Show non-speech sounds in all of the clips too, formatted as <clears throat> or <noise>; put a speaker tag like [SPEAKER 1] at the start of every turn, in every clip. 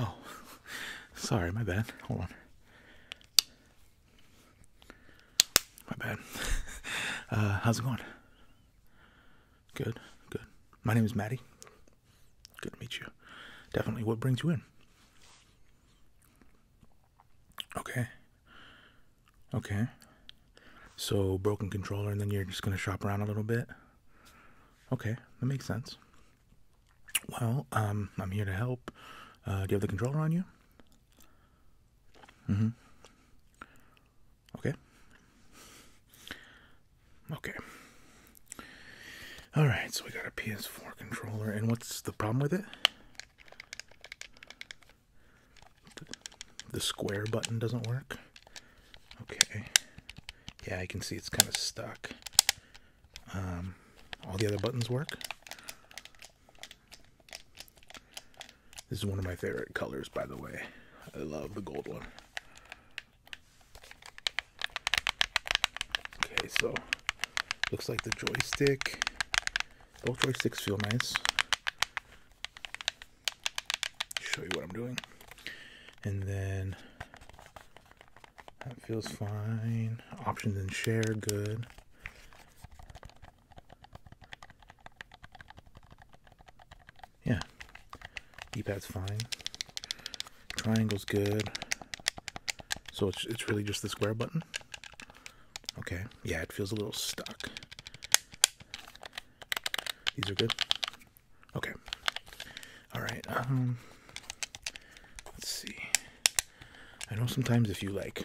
[SPEAKER 1] Oh, <laughs> Sorry, my bad. Hold on. My bad. <laughs> Uh, how's it going? Good, good. My name is Maddie. Good to meet you. Definitely. What brings you in? Okay. Okay. So, broken controller, and then you're just going to shop around a little bit? Okay, that makes sense. Well, um, I'm here to help. Uh, do you have the controller on you? Mm-hmm. Okay. Okay. All right, so we got a PS4 controller, and what's the problem with it? The square button doesn't work. Okay. Yeah, I can see it's kind of stuck. Um, all the other buttons work. This is one of my favorite colors, by the way. I love the gold one. Okay, so looks like the joystick. Both joysticks feel nice. Show you what I'm doing. And then that feels fine. Options and share, good. Yeah. D-pad's fine. Triangle's good. So it's, it's really just the square button? Okay. Yeah, it feels a little stuck. These are good. Okay. All right. Um, let's see. I know sometimes if you like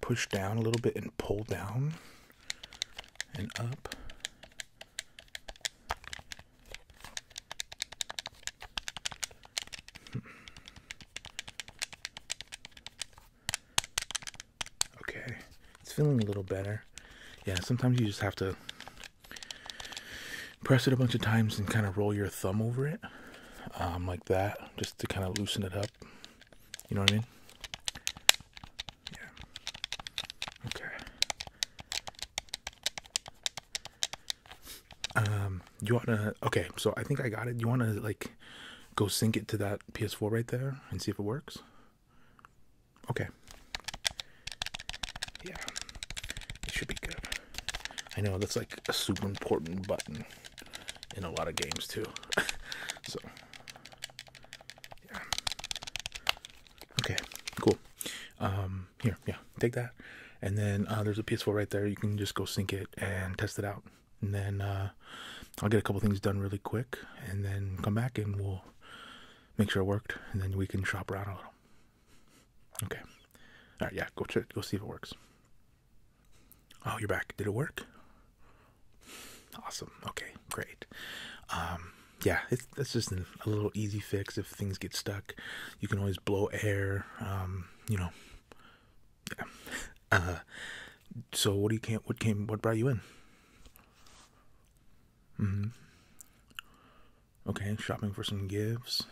[SPEAKER 1] push down a little bit and pull down and up. <laughs> Okay, it's feeling a little better. Yeah, sometimes you just have to press it a bunch of times and kind of roll your thumb over it um, like that just to kind of loosen it up. You know what I mean? Yeah. Okay. Um, you wanna? Okay, so I think I got it. You wanna like go sync it to that PS4 right there and see if it works? Okay. Yeah, it should be good. I know that's like a super important button in a lot of games too. <laughs> so, yeah. Okay, cool. Um, here, yeah, take that. And then uh, there's a PS4 right there. You can just go sync it and test it out. And then uh, I'll get a couple things done really quick, and then come back and we'll make sure it worked, and then we can shop around a little. Okay. All right, yeah, go check, go see if it works. Oh, you're back. Did it work? Awesome. Okay, great. Um, yeah, it's, just a little easy fix if things get stuck. You can always blow air, um, you know. Uh, so what do you came, what came, what brought you in? hmm Okay, shopping for some gifts.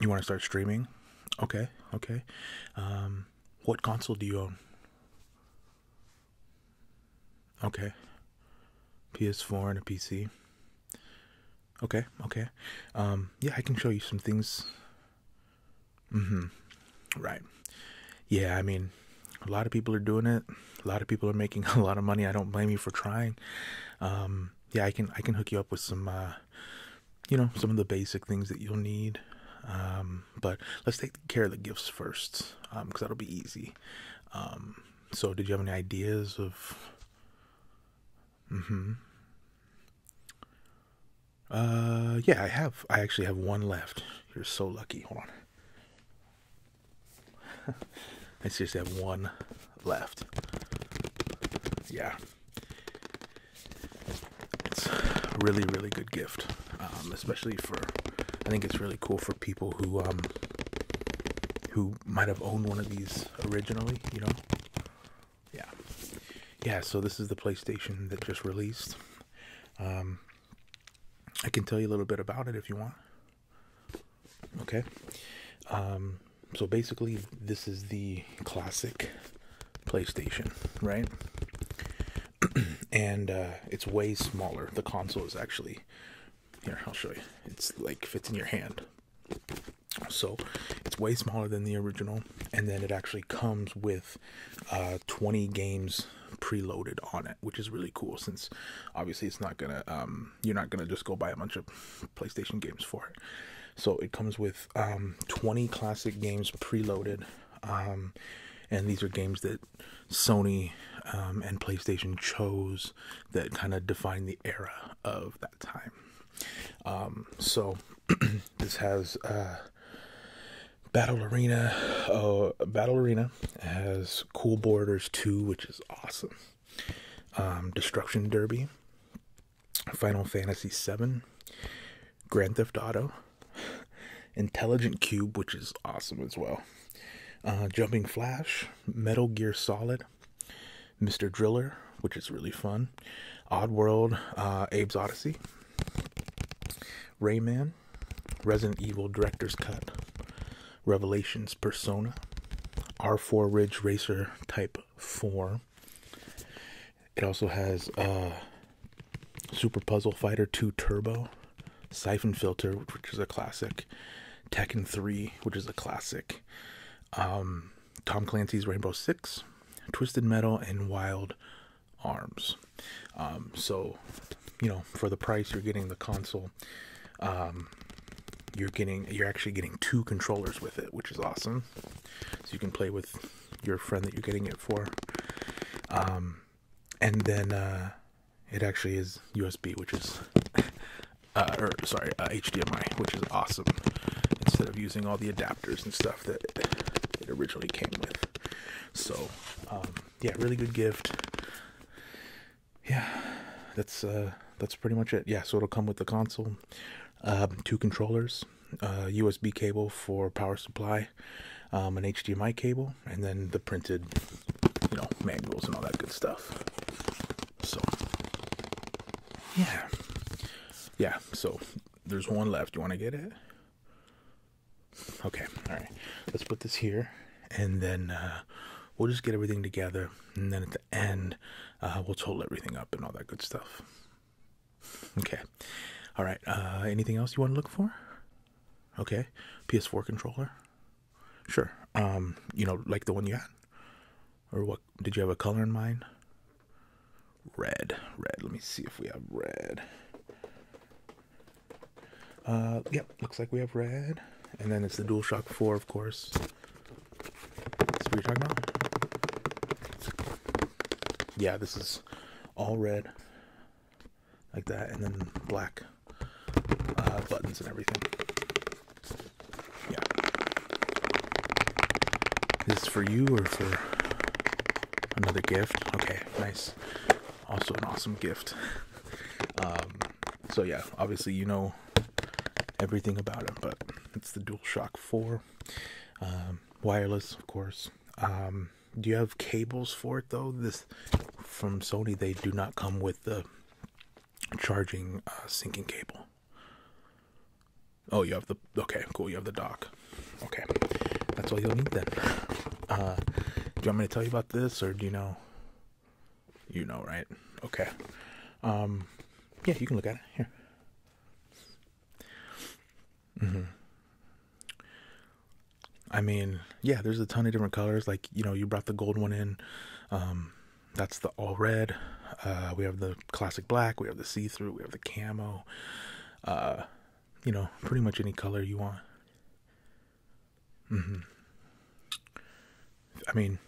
[SPEAKER 1] You want to start streaming? Okay, okay. Um, what console do you own? Okay. PS4 and a PC. Okay, okay. Um, yeah, I can show you some things. Mm-hmm. Right. Yeah, I mean, a lot of people are doing it. A lot of people are making <laughs> a lot of money. I don't blame you for trying. Um, yeah, I can I can hook you up with some uh, you know, some of the basic things that you'll need. Um, but let's take care of the gifts first, um, cause that'll be easy. Um, so did you have any ideas of, mm-hmm. Uh, yeah, I have, I actually have one left. You're so lucky. Hold on. <laughs> I seriously have one left. Yeah. It's a really, really good gift, um, especially for. I think it's really cool for people who um, who might have owned one of these originally. You know, yeah, yeah. So this is the PlayStation that just released. Um, I can tell you a little bit about it if you want. Okay. Um, so basically this is the classic PlayStation, right? <clears throat> and uh, it's way smaller. The console is actually here. I'll show you. It's like fits in your hand. So it's way smaller than the original, and then it actually comes with uh, 20 games preloaded on it, which is really cool. Since obviously it's not gonna, um, you're not gonna just go buy a bunch of PlayStation games for it. So it comes with um, 20 classic games preloaded. Um, and these are games that Sony um, and PlayStation chose that kind of define the era of that time. so <clears throat> this has uh, Battle Arena. Uh, Battle Arena has Cool Borders 2, which is awesome. Destruction Derby, Final Fantasy VII, Grand Theft Auto, Intelligent Cube, which is awesome as well, uh, Jumping Flash, Metal Gear Solid, Mr. Driller, which is really fun, Odd World, uh, Abe's Odyssey, Rayman, Resident Evil Director's Cut, Revelations Persona, R4 Ridge Racer Type 4, it also has uh, Super Puzzle Fighter 2 Turbo, Siphon Filter, which is a classic, Tekken 3, which is a classic, um, Tom Clancy's Rainbow Six, Twisted Metal, and Wild Arms. Um, so, you know, for the price, you're getting the console. Um, you're getting you're actually getting two controllers with it, which is awesome. So you can play with your friend that you're getting it for. Um, and then uh, it actually is USB, which is, <laughs> uh, or sorry, HDMI, uh, which is awesome. Instead of using all the adapters and stuff that it originally came with. So, um, yeah, really good gift. Yeah, that's uh, that's pretty much it. Yeah, so it'll come with the console, um, two controllers, uh, USB cable for power supply, um, an HDMI cable, and then the printed, you know, manuals and all that good stuff. So, yeah, yeah. So there's one left. You want to get it? Okay. All right. Let's put this here, and then uh, we'll just get everything together, and then at the end, uh, we'll total everything up and all that good stuff. Okay. All right. Uh, anything else you want to look for? Okay. PS4 controller. Sure. Um, you know, like the one you had, or what? Did you have a color in mind? Red. Red. Let me see if we have red. Uh, yep. Looks like we have red. And then it's the DualShock 4, of course. That's what you talking about? Yeah, this is all red like that, and then black uh, buttons and everything. Yeah. This is for you or for another gift? Okay, nice. Also, an awesome gift. um, so, yeah, obviously, you know everything about it, but it's the DualShock 4. Um, wireless, of course. Um, do you have cables for it though? This from Sony, they do not come with the charging uh, syncing cable. Oh, you have the okay, cool. You have the dock. Okay, that's all you'll need then. Uh, do you want me to tell you about this, or do you know? You know, right? Okay. Um, yeah, you can look at it here. Mm-hmm. I mean, yeah, there's a ton of different colors. Like, you know, you brought the gold one in. Um, that's the all red. Uh, we have the classic black. We have the see through. We have the camo. Uh, you know, pretty much any color you want. Mm-hmm. I mean,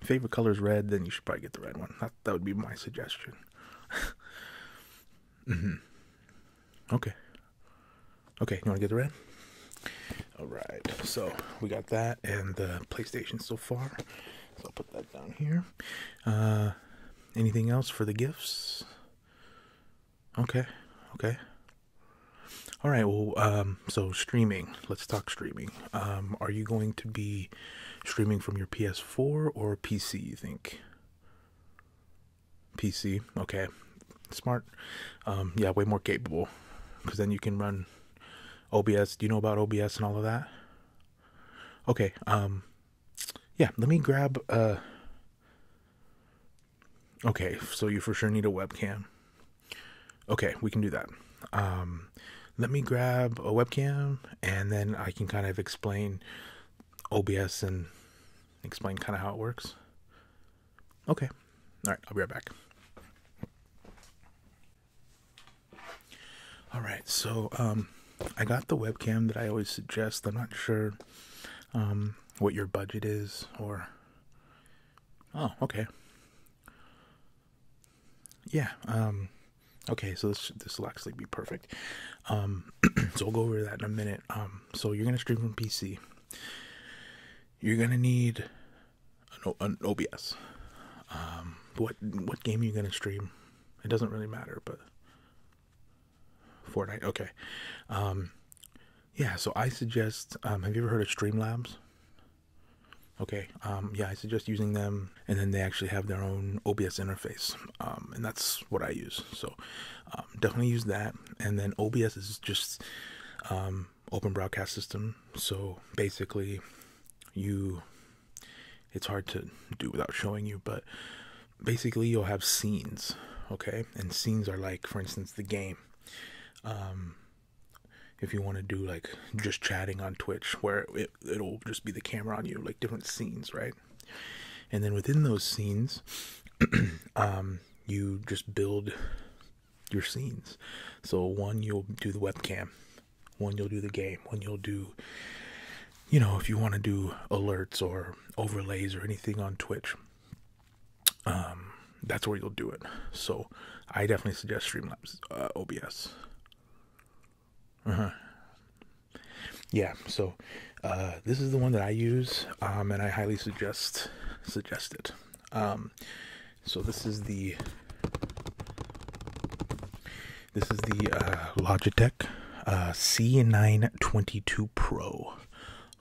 [SPEAKER 1] favorite color is red, then you should probably get the red one. That, that would be my suggestion. <laughs> mm-hmm. Okay. Okay, you want to get the red? All right. So we got that and the PlayStation so far. So I'll put that down here. Uh, anything else for the gifts? Okay. Okay. All right. Well, um, so streaming. Let's talk streaming. Um, are you going to be streaming from your PS4 or PC, you think? PC, okay. Smart. Um, yeah, way more capable. Because then you can run OBS. Do you know about OBS and all of that? Okay, um, yeah, let me grab, uh, okay, so you for sure need a webcam. Okay, we can do that. Um, let me grab a webcam and then I can kind of explain OBS and explain kind of how it works? Okay. All right, I'll be right back. All right, so um, I got the webcam that I always suggest. I'm not sure um, what your budget is or. Oh, okay. Yeah, um, Okay, so this this will actually be perfect. Um, <clears throat> so we'll go over that in a minute. Um, so you're gonna stream from PC. You're gonna need an, OBS. Um, what what game are you gonna stream? It doesn't really matter, but Fortnite. Okay. yeah. So I suggest. have you ever heard of Streamlabs? Okay. yeah, I suggest using them and then they actually have their own OBS interface, um, and that's what I use. So um, definitely use that. And then OBS is just um, open broadcast system. So basically, you it's hard to do without showing you, but basically you'll have scenes, okay? And scenes are like, for instance, the game. if you want to do like just chatting on Twitch, where it it will just be the camera on you like different scenes right and then within those scenes <clears throat> um you just build your scenes so one you'll do the webcam one you'll do the game one you'll do you know if you want to do alerts or overlays or anything on twitch um that's where you'll do it so i definitely suggest streamlabs uh, obs uh-huh. Yeah, so uh, this is the one that I use, um, and I highly suggest suggest it. Um, so this is the this is the uh, Logitech uh, C922 Pro.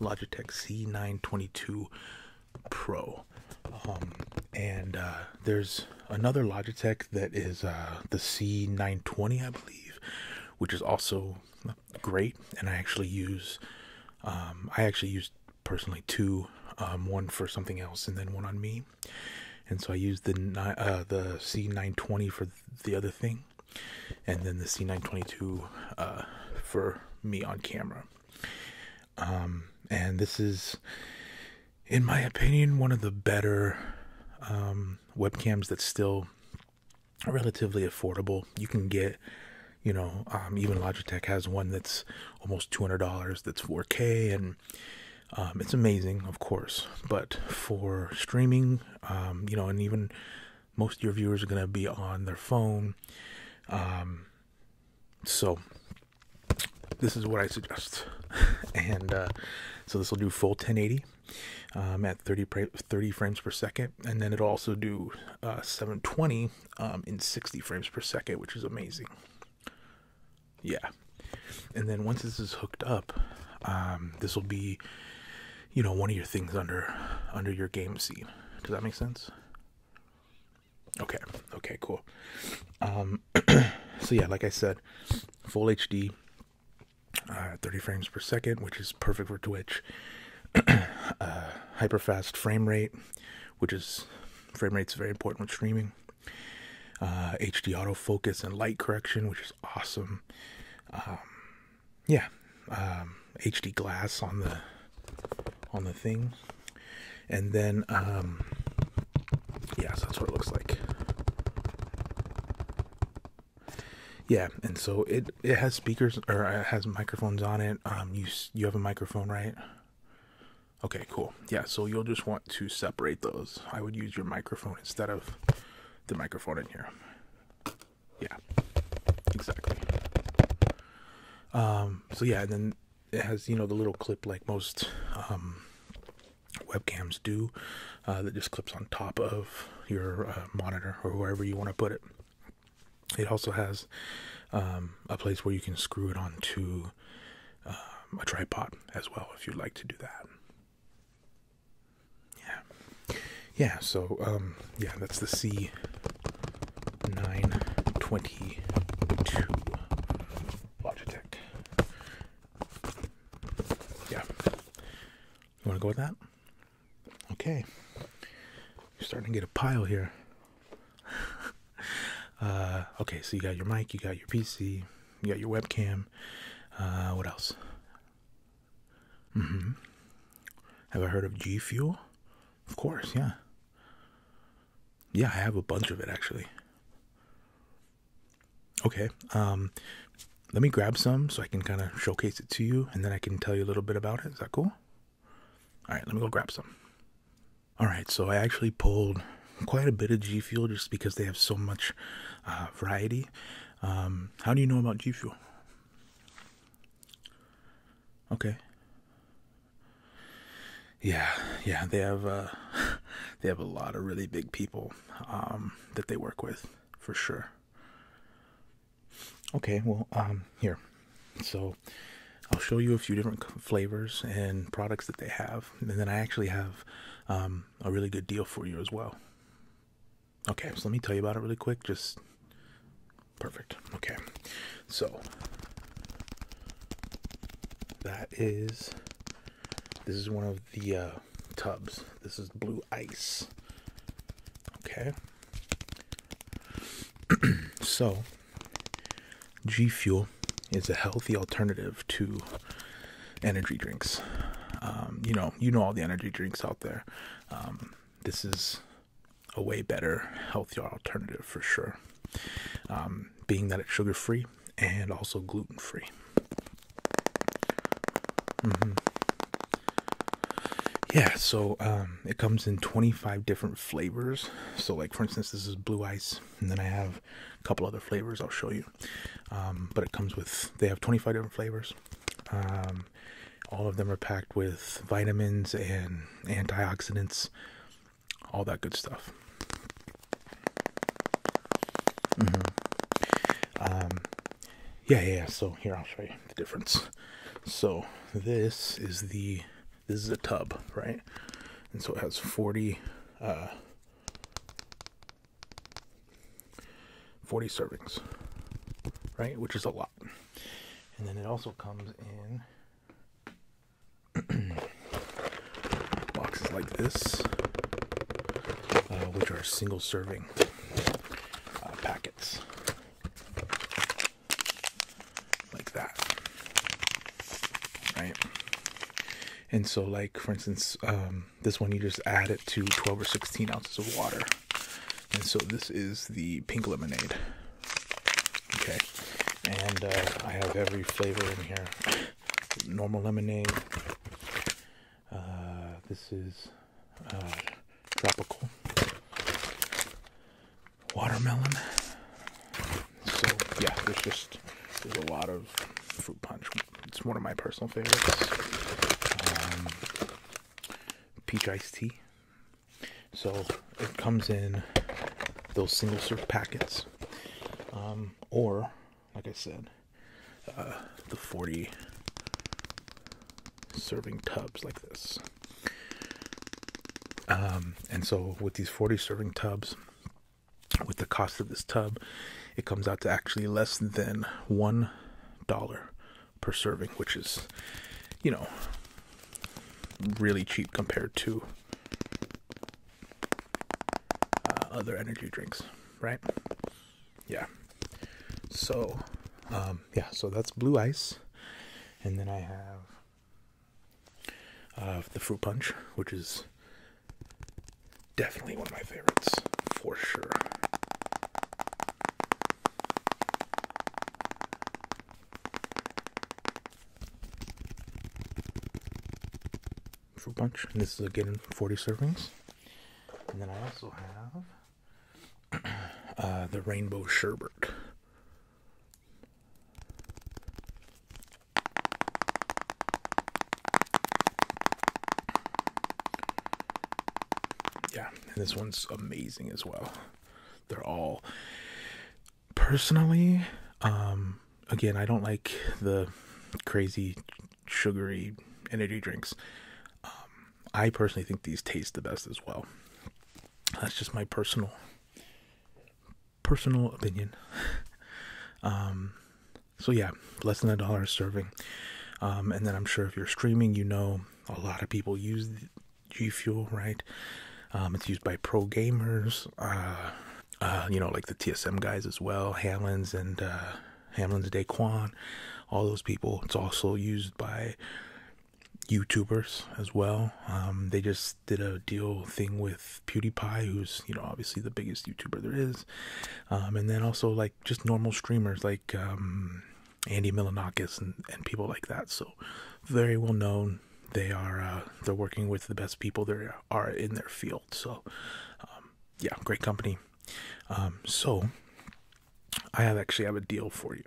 [SPEAKER 1] Logitech C922 Pro. Um, and there's another Logitech that is uh, the C920, I believe, which is also great. And I actually use, um, I actually use personally two, um, one for something else and then one on me. And so I used the uh, the C920 for the other thing, and then the C922 uh, for me on camera. Um, and this is, in my opinion, one of the better webcams that's still relatively affordable. You can get, you know, um, even Logitech has one that's almost two hundred dollars. That's four K, and um, it's amazing, of course. But for streaming, um, you know, and even most of your viewers are going to be on their phone. so this is what I suggest, <laughs> and uh, so this will do full 1080 um, at 30, frames per second, and then it'll also do uh, 720 um, in 60 frames per second, which is amazing. Yeah, and then once this is hooked up, um, this will be, you know, one of your things under under your game scene. Does that make sense? Okay. Okay. Cool. <clears throat> so yeah, like I said, full HD, uh, 30 frames per second, which is perfect for Twitch. <clears throat> Uh, hyper fast frame rate, which is frame rate's very important when streaming. Uh, HD autofocus and light correction, which is awesome. Um, yeah, um, HD glass on the on the thing, and then um, yeah, so that's what it looks like yeah and so it it has speakers or it has microphones on it um you you have a microphone right okay cool yeah so you'll just want to separate those i would use your microphone instead of the microphone in here yeah exactly um so yeah and then it has you know the little clip like most um, webcams do uh, that just clips on top of your uh, monitor or wherever you want to put it. It also has um, a place where you can screw it onto um, a tripod as well if you'd like to do that. Yeah, yeah. So um, yeah, that's the C nine twenty two Logitech. Yeah. You want to go with that? Okay. You're starting to get a pile here. <laughs> uh, okay, so you got your mic, you got your PC, you got your webcam. Uh, what else? Mm-hmm. Have I heard of G Fuel? Of course, yeah. Yeah, I have a bunch of it actually. Okay, um, let me grab some so I can kind of showcase it to you and then I can tell you a little bit about it. Is that cool? All right, let me go grab some. All right, so I actually pulled quite a bit of G Fuel just because they have so much uh, variety. Um, how do you know about G Fuel? Okay. Yeah, yeah, they have uh, <laughs> they have a lot of really big people um, that they work with for sure. Okay, well, um, here. So I'll show you a few different flavors and products that they have. And then I actually have um, a really good deal for you as well. Okay, so let me tell you about it really quick. Just perfect. Okay, so that is this is one of the uh, tubs. This is blue ice. Okay. <clears throat> so, G Fuel is a healthy alternative to energy drinks. Um, you know, you know all the energy drinks out there. Um, this is a way better, healthier alternative for sure. Um, being that it's sugar free and also gluten free. Mm-hmm. Yeah, so um, it comes in 25 different flavors. So, like for instance, this is blue ice, and then I have a couple other flavors I'll show you. Um, but it comes with they have 25 different flavors. Um, all of them are packed with vitamins and antioxidants, all that good stuff. Mm-hmm. Um, yeah, yeah. So here I'll show you the difference. So this is the this is a tub, right? And so it has forty. Uh, 40 servings, right? Which is a lot. And then it also comes in <clears throat> boxes like this. Uh, which are single serving uh, packets like that right and so like for instance um, this one you just add it to 12 or 16 ounces of water and so this is the pink lemonade okay and uh, i have every flavor in here normal lemonade uh, this is uh, tropical watermelon. So yeah, there's just there's a lot of fruit punch. It's one of my personal favorites. Um, peach iced tea. So it comes in those single serve packets, um, or like I said, the 40 serving tubs like this. Um, and so with these 40 serving tubs, with the cost of this tub, it comes out to actually less than one dollar per serving, which is, you know, really cheap compared to uh, other energy drinks, right? yeah so um, yeah so that's blue ice and then i have uh, the fruit punch which is definitely one of my favorites for sure for bunch. this is again 40 servings. And then I also have <clears throat> uh, the rainbow sherbet. Yeah, and this one's amazing as well. They're all personally, um, again, I don't like the crazy sugary energy drinks. Um, I personally think these taste the best as well. That's just my personal personal opinion. <laughs> um, so yeah, less than a dollar a serving. Um, and then I'm sure if you're streaming, you know a lot of people use G Fuel, right? Um, it's used by pro gamers, uh, uh, you know, like the TSM guys as well, Halens and uh, Hamlin's Daquan, all those people. It's also used by YouTubers as well. Um, they just did a deal thing with PewDiePie, who's you know obviously the biggest YouTuber there is, um, and then also like just normal streamers like um, Andy Millanakis and, people like that. So very well known. They are uh, they're working with the best people there are in their field. So yeah, great company. Um, so I actually have a deal for you.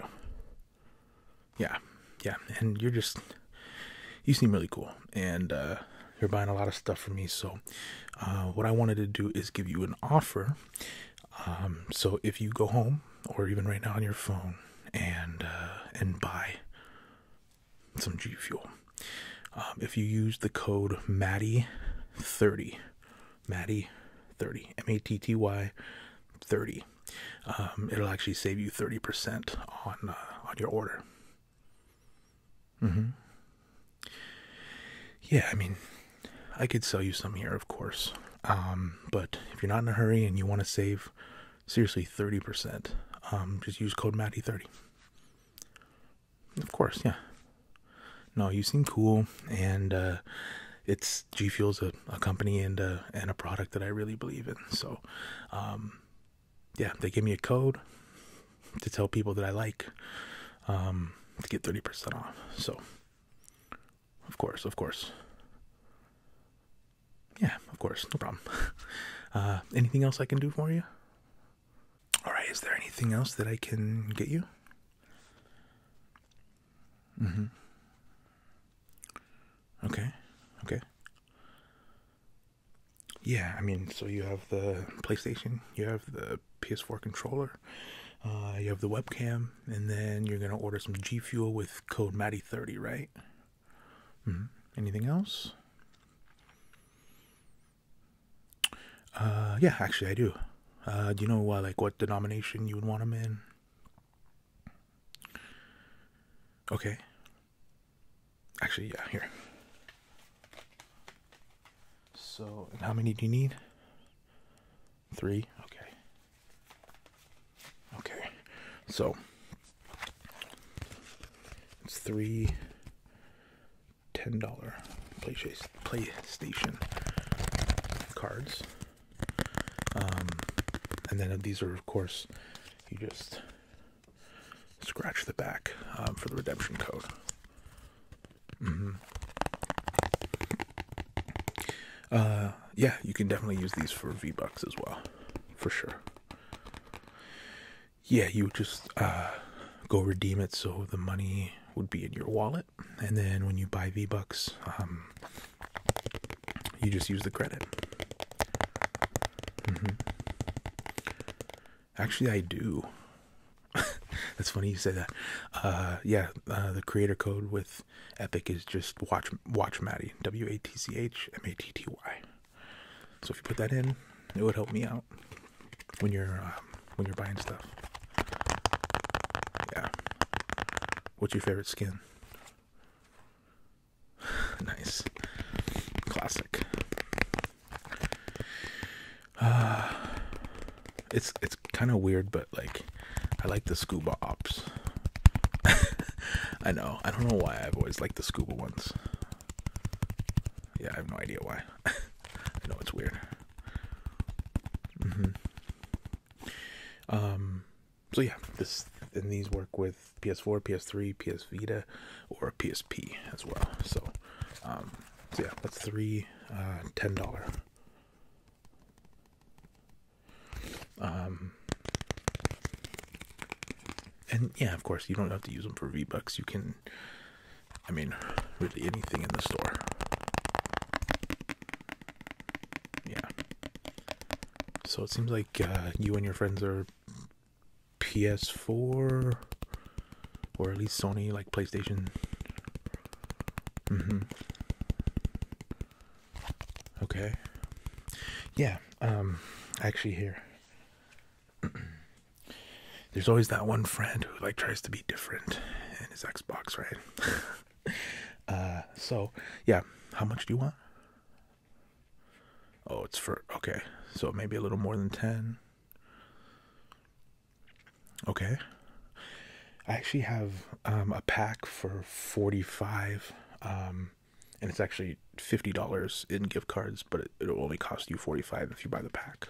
[SPEAKER 1] Yeah, yeah, and you're just you seem really cool, and uh, you're buying a lot of stuff for me. So uh, what I wanted to do is give you an offer. Um, so if you go home or even right now on your phone and uh, and buy some G Fuel, um, if you use the code Matty thirty Matty 30, M A T T Y 30. Um, it'll actually save you 30% on uh, on your order. hmm Yeah, I mean, I could sell you some here, of course. Um, but if you're not in a hurry and you want to save, seriously, 30%, um, just use code Matty 30. Of course, yeah. No, you seem cool, and uh, it's G Fuel's a, company and a, uh, and a product that I really believe in. So, um, yeah, they give me a code to tell people that I like um, to get thirty percent off. So, of course, of course, yeah, of course, no problem. <laughs> Uh, anything else I can do for you? All right, is there anything else that I can get you? Mm-hmm. Okay. Okay. Yeah, I mean, so you have the PlayStation, you have the PS4 controller, uh, you have the webcam, and then you're gonna order some G Fuel with code Matty30, right? -hmm. Anything else? Uh, yeah, actually, I do. Uh, do you know uh, like what denomination you would want them in? Okay. Actually, yeah, here. So, how many do you need? Three. Okay. Okay. So it's three $10 PlayStation cards. Um, and then these are, of course, you just scratch the back um, for the redemption code. Mm-hmm. Uh, yeah, you can definitely use these for V Bucks as well, for sure. Yeah, you just uh, go redeem it so the money would be in your wallet, and then when you buy V Bucks, um, you just use the credit. Mm-hmm. Actually, I do. <laughs> That's funny you say that. Uh, yeah, uh, the creator code with Epic is just watch watch Matty W A T C H M A T T Y. So if you put that in, it would help me out when you're uh, when you're buying stuff. Yeah. What's your favorite skin? <sighs> nice. Classic. <sighs> it's it's kind of weird, but like, I like the scuba ops. <laughs> I know. I don't know why I've always liked the scuba ones. Yeah, I have no idea why. <laughs> I know it's weird. Mm-hmm. Um, so yeah, this and these work with PS4, PS3, PS Vita, or PSP as well. Um, so, yeah, that's three uh, dollar. Um, and yeah, of course, you don't have to use them for V Bucks. You can I mean, really anything in the store. Yeah. So it seems like uh, you and your friends are PS4 or at least Sony, like PlayStation. Mm-hmm. Okay. Yeah. Um. Actually, here. <clears throat> there's always that one friend who like tries to be different in his Xbox, right? <laughs> Uh, so yeah, how much do you want? Oh, it's for okay. So maybe a little more than 10. Okay. I actually have um, a pack for 45 um, and it's actually $50 in gift cards, but it, it'll only cost you 45 if you buy the pack.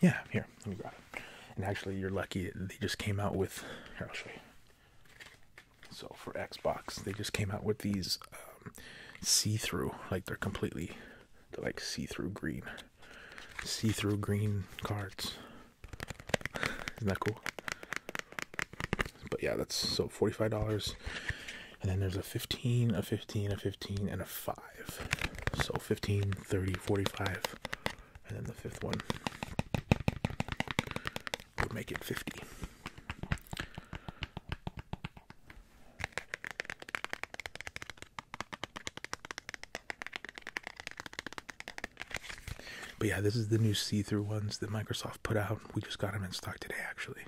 [SPEAKER 1] Yeah, here, let me grab it. And actually, you're lucky they just came out with. Here, I'll show you. So for Xbox, they just came out with these um, see-through, like they're completely, they're like see-through green, see-through green cards. Isn't that cool? But yeah, that's so forty-five dollars. And then there's a 15, a 15, a 15, and a 5. So 15, 30, 45, and then the fifth one would make it 50. But yeah, this is the new see-through ones that Microsoft put out. We just got them in stock today, actually.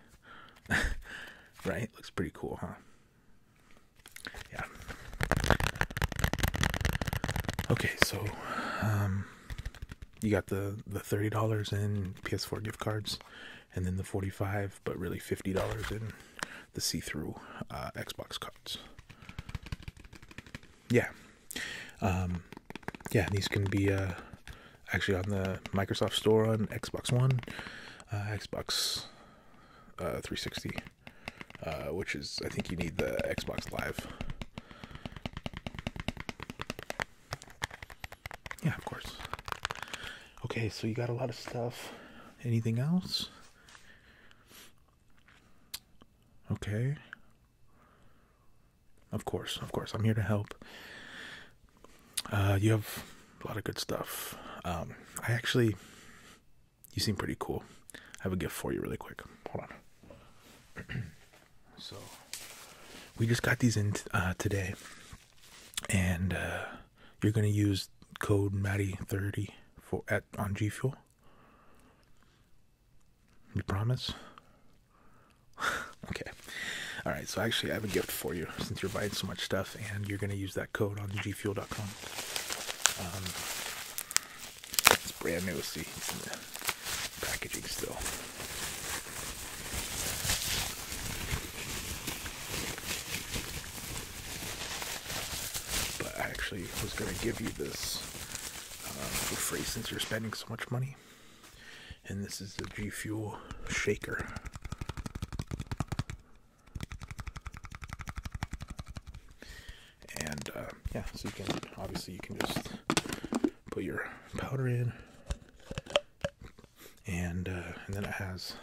[SPEAKER 1] <laughs> right? Looks pretty cool, huh? Yeah. Okay, so um, you got the the $30 in PS4 gift cards and then the 45 but really $50 in the see-through uh, Xbox cards. Yeah. Um yeah, these can be uh actually on the Microsoft Store on Xbox One, uh, Xbox uh, 360 uh, which is I think you need the Xbox Live. Yeah, of course. Okay, so you got a lot of stuff. Anything else? Okay. Of course, of course. I'm here to help. Uh, you have a lot of good stuff. Um, I actually you seem pretty cool. I have a gift for you really quick. Hold on. <clears throat> so we just got these in uh, today, and uh, you're gonna use code Matty thirty for at on G Fuel. You promise? <laughs> okay. All right. So actually, I have a gift for you since you're buying so much stuff, and you're gonna use that code on gfuel.com. Um, it's brand new. See, it's in the packaging still. But I actually was going to give you this um, for free since you're spending so much money. And this is the G Fuel shaker and uh, yeah so you can obviously you can just put your powder in and uh, and then it has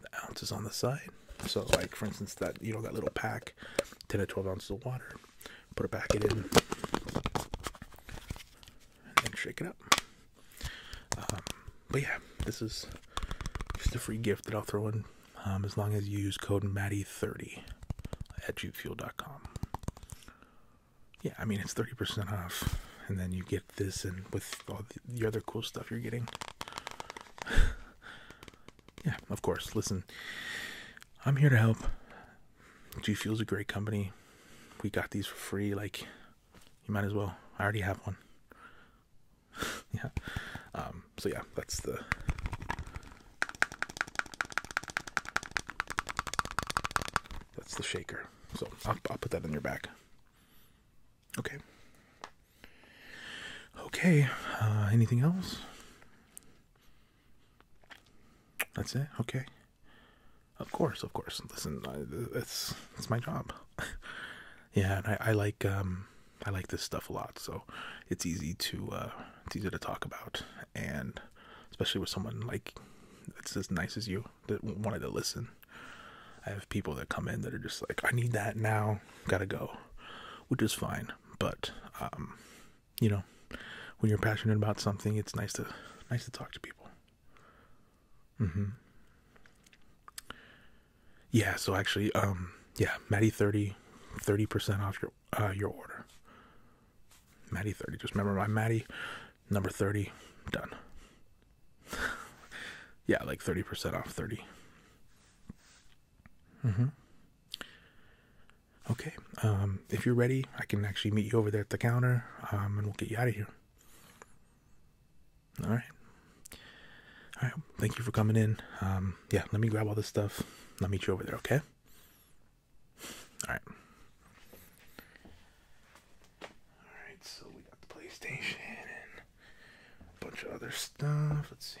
[SPEAKER 1] the ounces on the side so like for instance that you know that little pack 10 to 12 ounces of water put a packet in and shake it up um, but yeah this is just a free gift that i'll throw in um, as long as you use code Maddie30 at jukefuel.com. Yeah, I mean, it's 30% off, and then you get this and with all the, other cool stuff you're getting. <laughs> yeah, of course. Listen, I'm here to help. G is a great company. We got these for free. Like, you might as well. I already have one. <laughs> yeah. Um, so yeah, that's the that's the shaker. So I'll, I'll put that in your bag. Okay. Okay. Uh, anything else? That's it. Okay. Of course, of course. Listen, that's it's my job. <laughs> yeah, and I, I like um, I like this stuff a lot, so it's easy to uh, it's easy to talk about, and especially with someone like it's as nice as you that wanted to listen. I have people that come in that are just like, I need that now, gotta go, which is fine. But um, you know, when you're passionate about something, it's nice to nice to talk to people. Mm-hmm yeah so actually um yeah maddie 30 percent off your uh your order maddie 30 just remember my maddie number 30 done <laughs> yeah like 30% off 30 mm-hmm okay um if you're ready i can actually meet you over there at the counter um and we'll get you out of here all right. All right. Thank you for coming in. Um, yeah, let me grab all this stuff. Let me meet you over there, okay? All right. All right, so we got the PlayStation and a bunch of other stuff. Let's see.